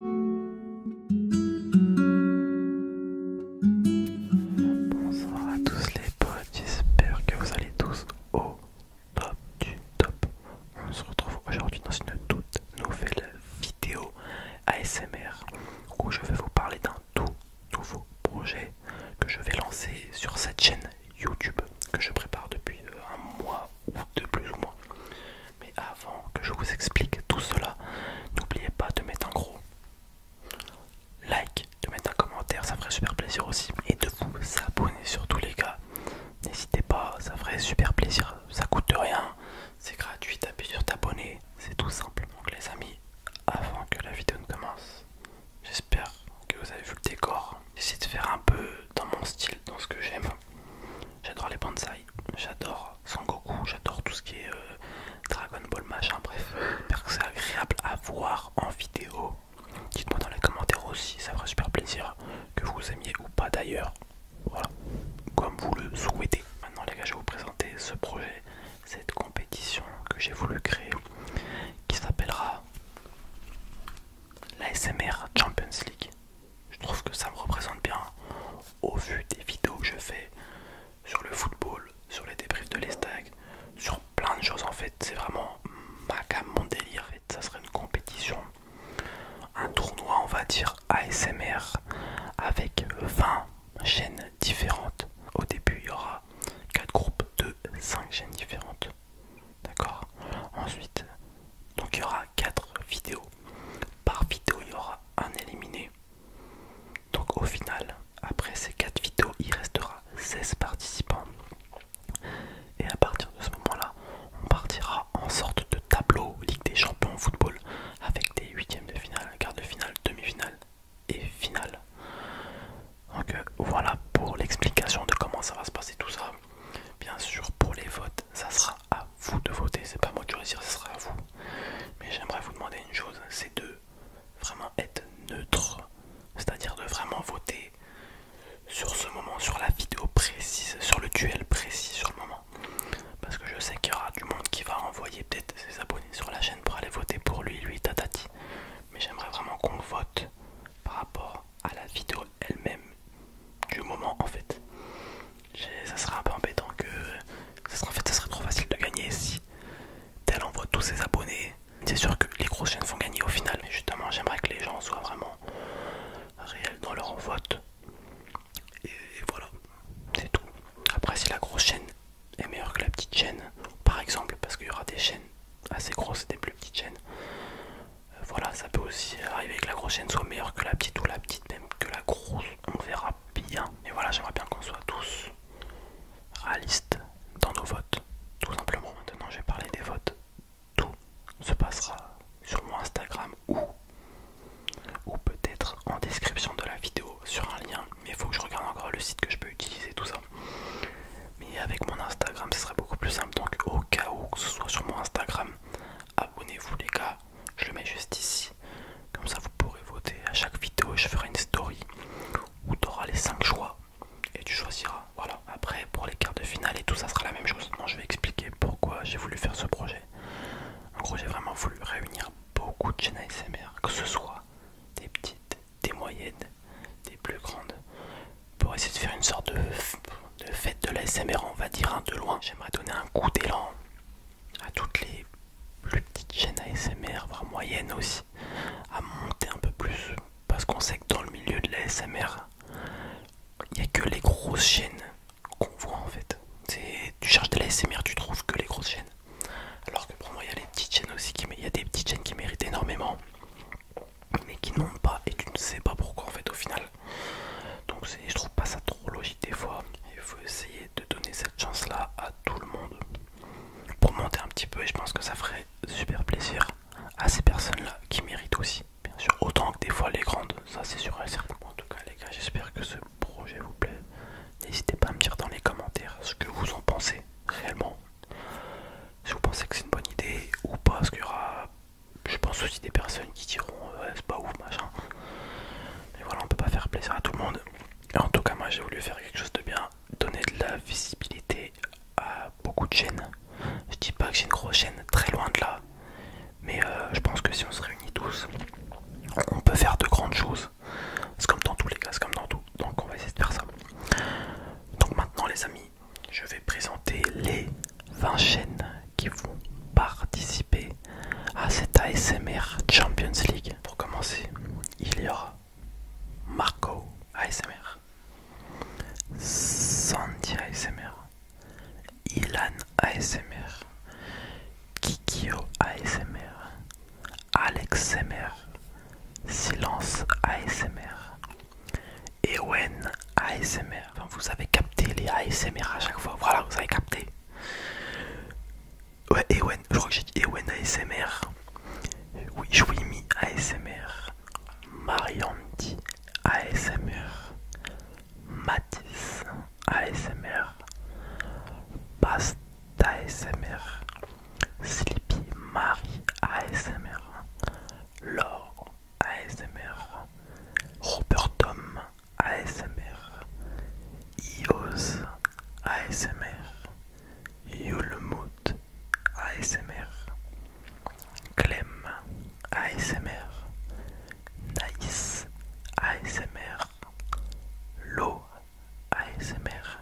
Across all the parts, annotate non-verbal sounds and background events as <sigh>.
Bonsoir à tous les potes, j'espère que vous allez tous au top du top. On se retrouve aujourd'hui dans une toute nouvelle vidéo ASMR où je vais vous parler d'un tout nouveau projet que je vais lancer sur cette chaîne YouTube que je prépare depuis un mois ou deux plus ou moins. Mais avant que je vous explique tout cela, n'oubliez pas de mettre un gros like, de mettre un commentaire, ça ferait super plaisir aussi. Et de vous abonner tous les gars. N'hésitez pas, ça ferait super plaisir. Ça coûte rien, c'est gratuit, tapez sur t'abonner, c'est tout simple. Donc les amis, avant que la vidéo ne commence, j'espère que vous avez vu le décor. J'essaie de faire un peu dans mon style, dans ce que j'aime. J'adore les bonsaïs, j'adore Sangoku, j'adore tout ce qui est euh, Dragon Ball machin, bref, j'espère que c'est agréable à voir en vidéo. Dites-moi dans les commentaires aussi, ça ferait super plaisir que vous aimiez ou pas d'ailleurs. Voilà, comme vous le souhaitez. Maintenant les gars, je vais vous présenter ce projet, cette compétition que j'ai voulu créer, qui s'appellera la SMR Champions League. Je trouve que ça me représente bien au vu des vidéos que je fais sur le football, sur les débriefs de l'Estag, sur plein de choses en fait. C'est vraiment ma gamme, mon délire. Ça serait une compétition, un tournoi, on va dire ASMR, avec 20 chaînes différentes. Au début, il y aura 4 groupes de 5 chaînes différentes. D'accord Ensuite, donc il y aura 4 vidéos. Par vidéo, il y aura un éliminé. Donc au final, après ces 4 vidéos, il restera 16 participants. Et à partir de ce moment-là, on partira en sorte de tableau Ligue des Champions football avec des huitièmes de finale, quart de finale, demi-finale et finale. Donc euh, voilà pour l'explication de comment ça va se passer tout ça. Bien sûr, pour les votes, ça sera à vous de voter. C'est pas moi qui choisir, ça sera à vous. Mais j'aimerais vous demander une chose, c'est de vraiment être neutre, c'est-à-dire de vraiment voter sur ce moment, sur la vidéo précise, sur le duel précis, sur le moment. Parce que je sais qu'il y aura du monde qui va envoyer peut-être ses abonnés sur la chaîne pour aller voter pour lui, lui, tatati. Mais j'aimerais vraiment qu'on vote par rapport à la vidéo elle-même du moment en fait. Ça sera un peu embêtant que ça sera, en fait, ça serait trop facile de gagner si tel envoie tous ses abonnés. C'est sûr que les grosses chaînes vont gagner au final, mais justement j'aimerais que les gens soient vraiment réels dans leur vote. Et voilà, c'est tout. Après si la grosse chaîne est meilleure que la petite chaîne, par exemple, parce qu'il y aura des chaînes assez grosse, et des plus petites chaînes. Euh, voilà, ça peut aussi arriver que la grosse chaîne soit meilleure que la petite ou la petite même que la grosse. On verra bien. Et voilà, j'aimerais bien qu'on soit tous réalistes dans nos votes. Tout simplement, maintenant je vais parler des votes. Tout se passera sur mon Instagram ou, ou peut-être en description de la vidéo sur un lien. Mais il faut que je regarde encore le site que je peux utiliser, tout ça. Mais avec mon Instagram, ce serait beaucoup plus simple. Donc, au cas où que ce soit sur mon Instagram, abonnez-vous, les gars. Je le mets juste ici. Comme ça, vous pourrez voter. À chaque vidéo, je ferai une story où tu auras les 5 choix et tu choisiras. Voilà. Après, pour les quarts de finale et tout, ça sera la même chose. Non, je vais expliquer pourquoi j'ai voulu faire ce projet. En gros, j'ai vraiment voulu réunir beaucoup de chaînes ASMR, que ce soit des petites, des moyennes, des plus grandes, pour essayer de faire une sorte de, fête de l'ASMR, on va dire un de loin. J'aimerais donner un coup d'élan à toutes les plus petites chaînes ASMR, voire moyennes aussi, à monter un peu plus, parce qu'on sait que dans le milieu de la SMR, il n'y a que les grosses chaînes qu'on voit en fait. Tu cherches de la SMR, tu trouves que les grosses chaînes. Alors que pour moi, il y a les petites chaînes aussi, qui, il y a des petites chaînes qui méritent énormément, mais qui n'ont pas et tu ne sais pas pourquoi en fait au final. Donc je trouve pas ça trop logique des fois. Il faut essayer de donner cette chance-là à tout le monde pour monter un petit peu et je pense que ça ferait super plaisir à ces personnes-là qui méritent aussi. Bien sûr, autant que des fois les grandes, ça c'est sûr et certain. En tout cas les gars, j'espère que ce projet vous plaît. N'hésitez pas à me dire dans les commentaires ce que vous en pensez réellement si vous pensez que c'est une bonne idée ou pas parce qu'il y aura je pense aussi des personnes qui diront euh, ouais, c'est pas ouf machin mais voilà on peut pas faire plaisir à tout le monde en tout cas moi j'ai voulu faire quelque chose de bien donner de la visibilité à beaucoup de chaînes je dis pas que j'ai une grosse chaîne très loin de là mais euh, je pense que si on se réunit tous on peut faire de grandes choses c'est comme dans tous les cas, c'est comme dans tout. Donc on va essayer de faire ça. Donc maintenant les amis, je vais présenter les 20 chaînes qui vont participer à cette ASMR Champions League. Pour commencer, il y aura Marco ASMR, Sandy ASMR, Ilan ASMR, Kikio ASMR, Alex Silence ASMR, Ewen ASMR. vous avez capté les ASMR à chaque fois. Voilà, vous avez capté. Ouais, Ewen, je crois que j'ai dit Ewen ASMR. Oui, Jouimi ASMR, Marianti ASMR, Mathis ASMR, Pasta ASMR, Sleepy Marie ASMR, Lore ASMR, Robert Tom ASMR, Ios ASMR, Yulmout ASMR, Clem ASMR, Naïs ASMR, L'eau ASMR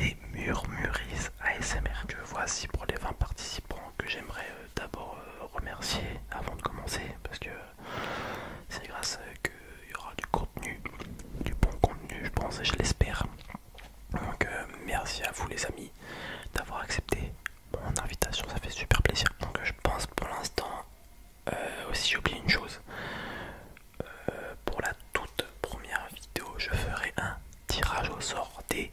et Murmurise ASMR. Que voici pour les 20 participants que j'aimerais euh, d'abord euh, remercier avant de commencer parce que c'est grâce à eux qu'il y aura du contenu, du bon contenu, je pense et je l'espère. Donc euh, merci à vous les amis d'avoir accepté mon invitation, ça fait super plaisir. Donc je pense pour l'instant euh, aussi j'ai oublié une chose. Euh, pour la toute première vidéo, je ferai un tirage au sort des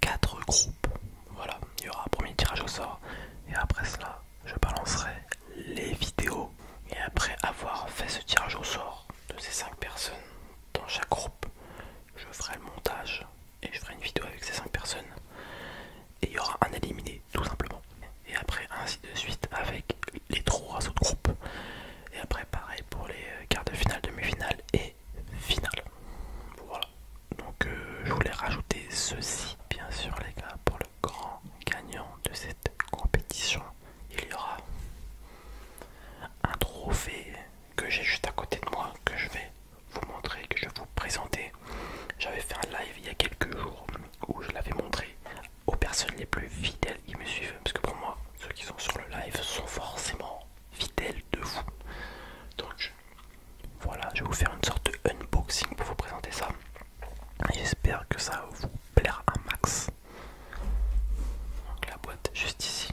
4 groupes. Voilà, il y aura un premier tirage au sort. Et après cela, je balancerai les vidéos. Et après avoir fait ce tirage au sort de ces 5 personnes dans chaque groupe, je ferai le montage et je ferai une vidéo avec ces 5 personnes et il y aura un éliminé tout simplement et après ainsi de suite avec les trois autres groupes et après pareil pour les euh, quarts de finale, demi-finale et finale voilà donc euh, je voulais rajouter ceci bien sûr les gars pour le grand gagnant de cette compétition il y aura un trophée que j'ai juste à côté de moi que je vais vous montrer, que je vais vous présenter. J'avais fait un live il y a quelques jours où je l'avais montré aux personnes les plus fidèles qui me suivent. Parce que pour moi, ceux qui sont sur le live sont forcément fidèles de vous. Donc voilà, je vais vous faire une sorte de unboxing pour vous présenter ça. J'espère que ça vous plaira un max. la boîte juste ici.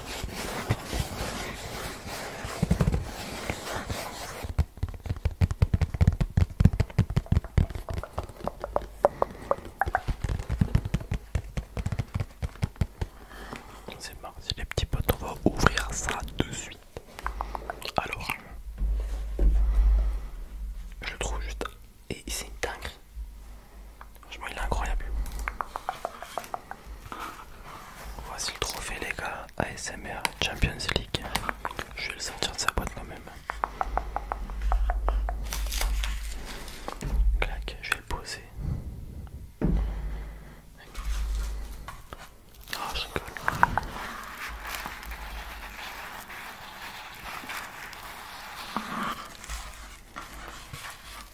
C'est parti les petits potes, on va ouvrir ça de suite. Alors, je le trouve juste et c'est dingue. Franchement, il est incroyable. Voici le trophée les gars, ASMR Champions League. Je vais le sortir de sa boîte quand même. Clac, je vais le poser. Ah,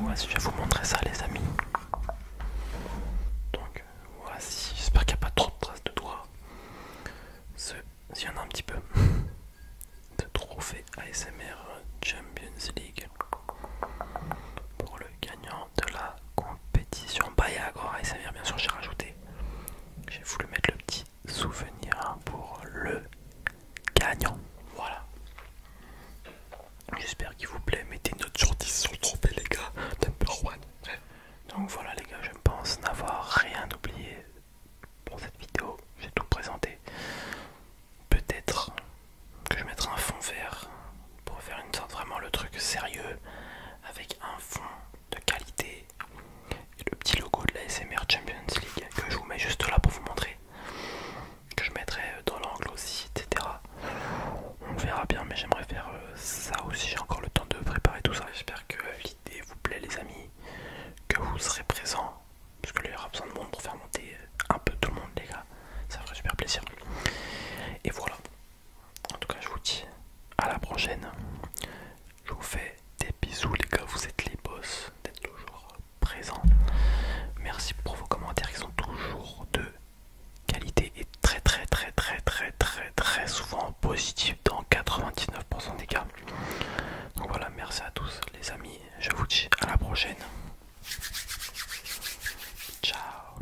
voici, ah, je vais vous montrer ça, les amis. Donc, voici, j'espère qu'il n'y a pas trop de traces de doigts. Il y a un petit peu, <laughs> de trophée ASMR Champions League pour le gagnant de la compétition encore ASMR. Bien sûr, j'ai rajouté, j'ai voulu mettre le petit souvenir pour le gagnant. Voilà. J'espère qu'il vous plaît. Mettez une note sur 10 sur le trophée, les gars. one. Donc voilà, les gars, je pense n'avoir rien oublié pour cette vidéo. J'ai tout présenté. Peut-être que je mettrai un fond vert pour faire une sorte vraiment le truc sérieux avec un fond de qualité et, le petit logo de la SMR Champions League que je vous mets juste là pour vous montrer que je mettrai euh, dans l'angle aussi etc on verra bien mais j'aimerais faire euh, ça aussi j'ai encore le temps de préparer tout ça j'espère que l'idée vous plaît les amis que vous serez présents parce que là il y aura besoin de monde pour faire monter euh, un peu tout le monde les gars ça ferait super plaisir et voilà en tout cas je vous dis à la prochaine je vous fais des bisous les gars, vous êtes les boss d'être toujours présents. Merci pour vos commentaires qui sont toujours de qualité et très très très très très très très souvent positifs dans 99% des cas. Donc voilà, merci à tous les amis, je vous dis à la prochaine. Ciao